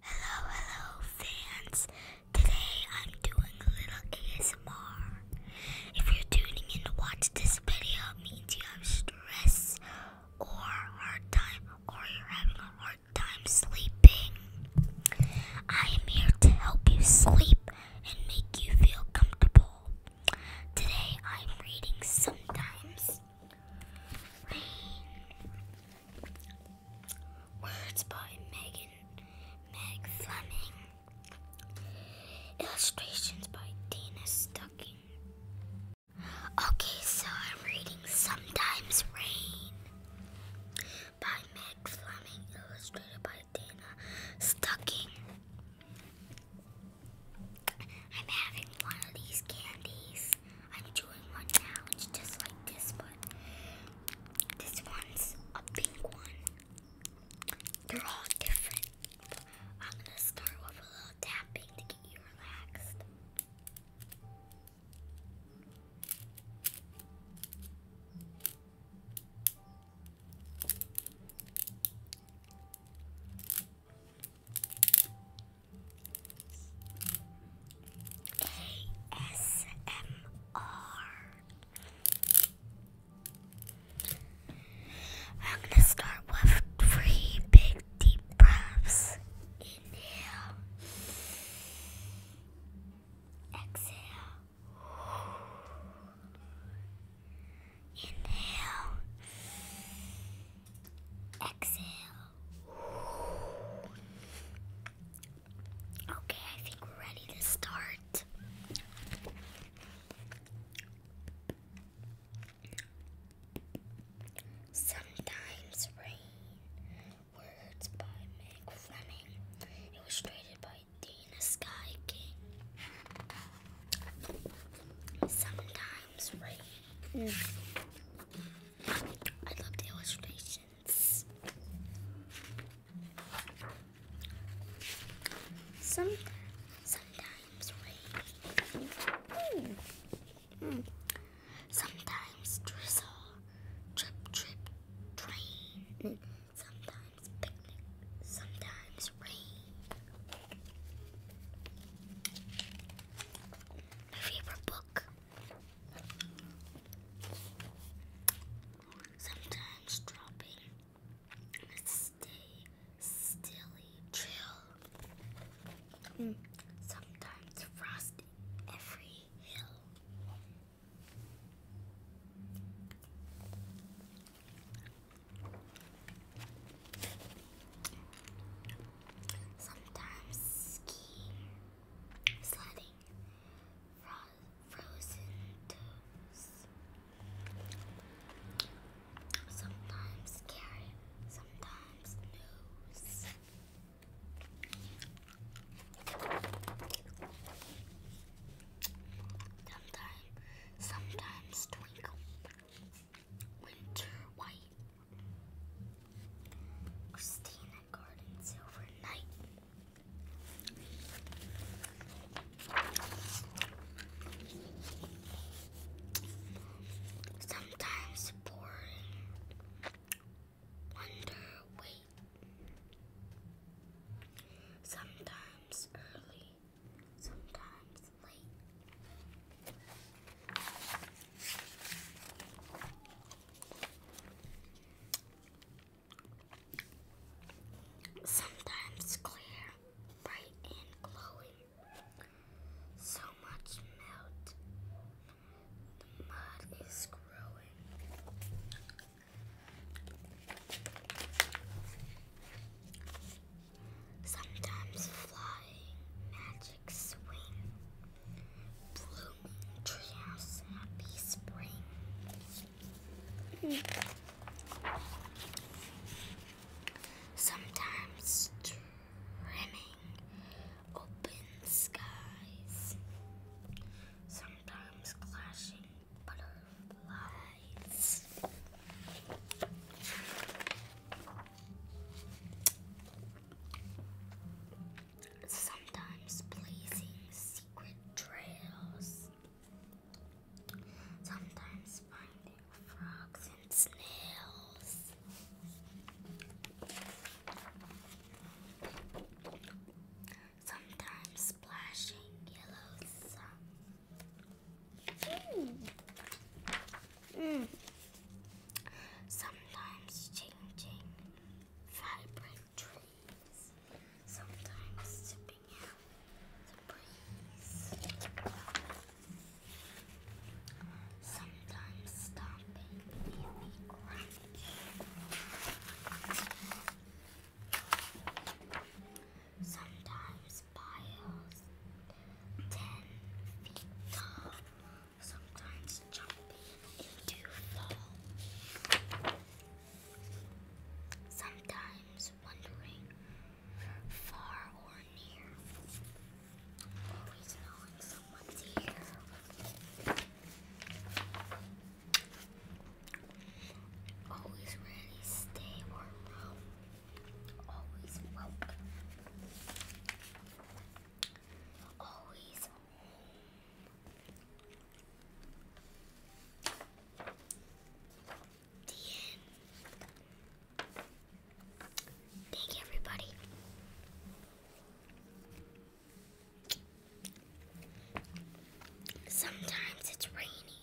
Hello, hello fans. Today I'm doing a little ASMR. If you're tuning in to watch this video, means you have stress or hard time or you're having a hard time sleeping. I am here to help you sleep and make you feel comfortable. Today I'm reading sometimes. Words by Megan Meg Illustrations by Dana Stucking. Okay, so I'm reading Sometimes Rain by Meg Fleming, illustrated by Dana Stucking. I'm having one of these candies. I'm doing one now. It's just like this, but this one's a pink one. They're all different. I'm gonna start with a little tapping to get you relaxed. ASMR. am gonna start with three big deep breaths. Inhale. Exhale. Inhale. Exhale. Okay, I think we're ready to start. Sometimes Rain, words by Meg Fleming, illustrated by Dana Sky sometimes rain. I loved illustrations. Some, sometimes rain. Mm. Mm. Sometimes drizzle. Trip, trip, train. Sometimes sometimes picnic, sometimes rain. My favorite book. Sometimes dropping stay stilly chill. Mm. Sometimes frost every hill. Sometimes skiing, sledding, frozen toes. Sometimes carrot, sometimes nose. Sometimes, sometimes twinkle, winter white, Christina Garden Silver Night. Sometimes boring, wonder way Sometimes early, sometimes late. Sometimes clear, bright, and glowing. So much melt, the mud is growing. Sometimes flying magic swing, blooming treehouse happy spring. Sometimes trimming open skies sometimes clashing butterflies. Sometimes blazing secret trails. Sometimes finding frogs and snails sometimes splashing yellow sun. Mm. Mm. Sometimes changing vibrant trees, sometimes sipping out the breeze sometimes stomping really grumpy. Sometimes piles ten feet tall, sometimes jumping into fall. Sometimes wondering far or near. Always knowing someone's here. Always ready, stay warm. Always woke. Always home. The Thank you, everybody. Sometimes it's rainy,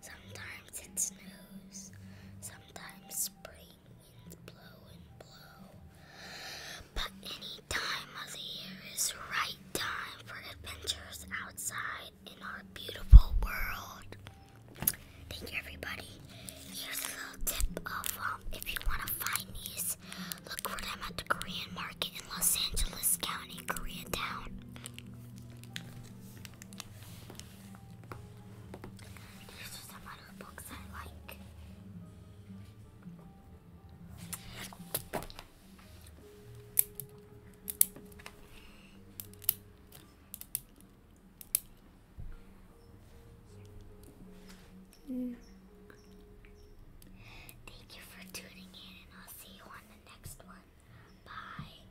sometimes it snows, sometimes spring winds blow and blow. But any time of the year is right time for adventures outside in our beautiful world. Thank you, everybody. Here's a little tip of um, if you want to find these, look for them at the Korean market in Los Angeles County, Koreatown. These are some other books I like. Thank you for tuning in, and I'll see you on the next one. Bye.